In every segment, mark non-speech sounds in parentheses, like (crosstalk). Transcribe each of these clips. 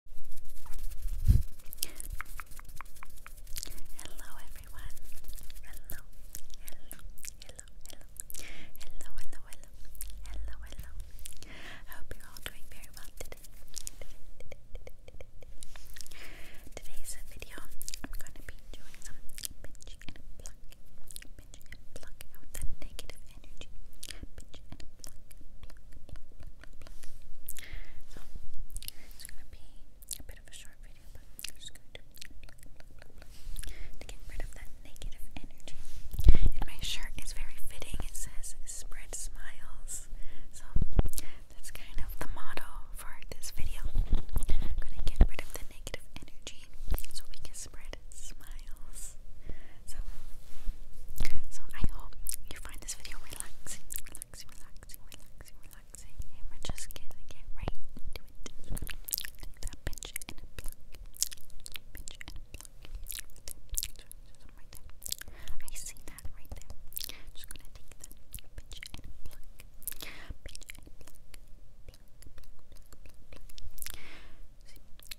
Hello everyone. Hello. Hello. Hello. Hello. Hello. Hello. Hello. I hope you're all doing very well today. Today's video, I'm going to be doing some pinch and pluck, pinch and pluck out the negative energy, so it's gonna be a bit of a short video, but just to get rid of that negative energy. And my shirt is very fitting. It says "Spread Smiles," so that's kind of the motto for this video. gonna get rid of the negative energy so we can spread smiles. So, so I hope you find this video relaxing, relaxing, relaxing, relaxing, relaxing. And we're just gonna get right into it. Right I see that right there. Just gonna take that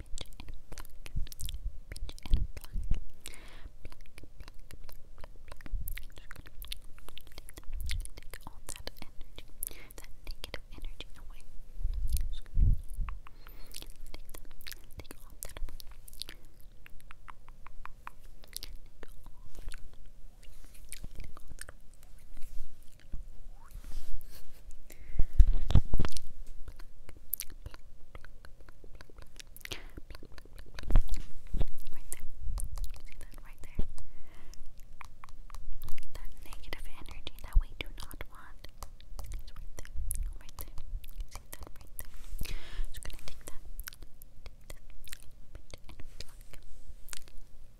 Take all that energy, that negative energy away. Just gonna take that, take all that away. Take all that away. Take all that away. Right there. right there? That negative energy that we do not want. right there. Right there. See that right there? Just gonna take that.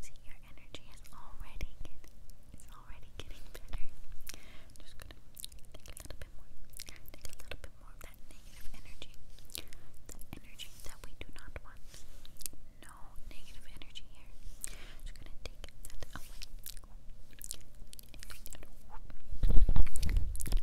See, your energy is already getting, already getting better. just a little bit more, a little bit more of that negative energy, that energy that we do not want, no negative energy here. Just gonna take that away. Take that away. Give that to pull and brush. Give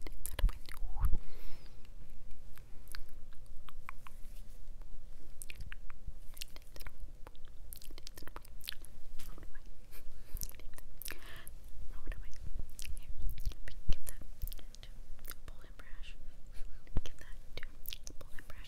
that to pull and brush.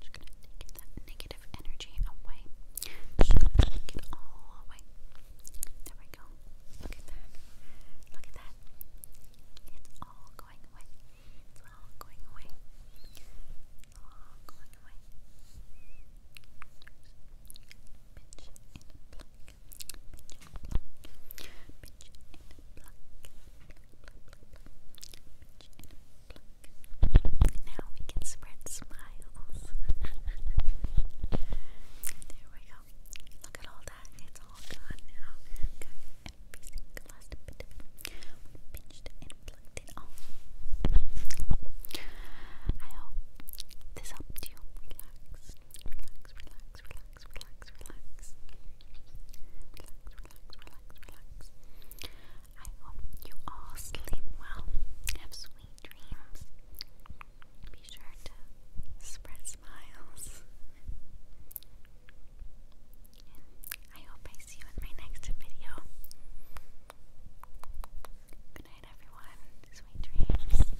Just gonna take that negative energy away. Just gonna take it all away. There we go. Look at that. Look at that. It's all going away. It's all going away. all going away. Now we can spread smiles. (laughs) there we go. Look at all that. It's all gone now. Got every last bit of it. We and plucked I hope this helped you relax. Relax, relax, relax relax, relax, relax. Relax, relax, relax, I hope you all sleep well. Have sweet dreams. Be sure to spread smiles. And I hope I see you in my next video. Good night, everyone. Sweet dreams.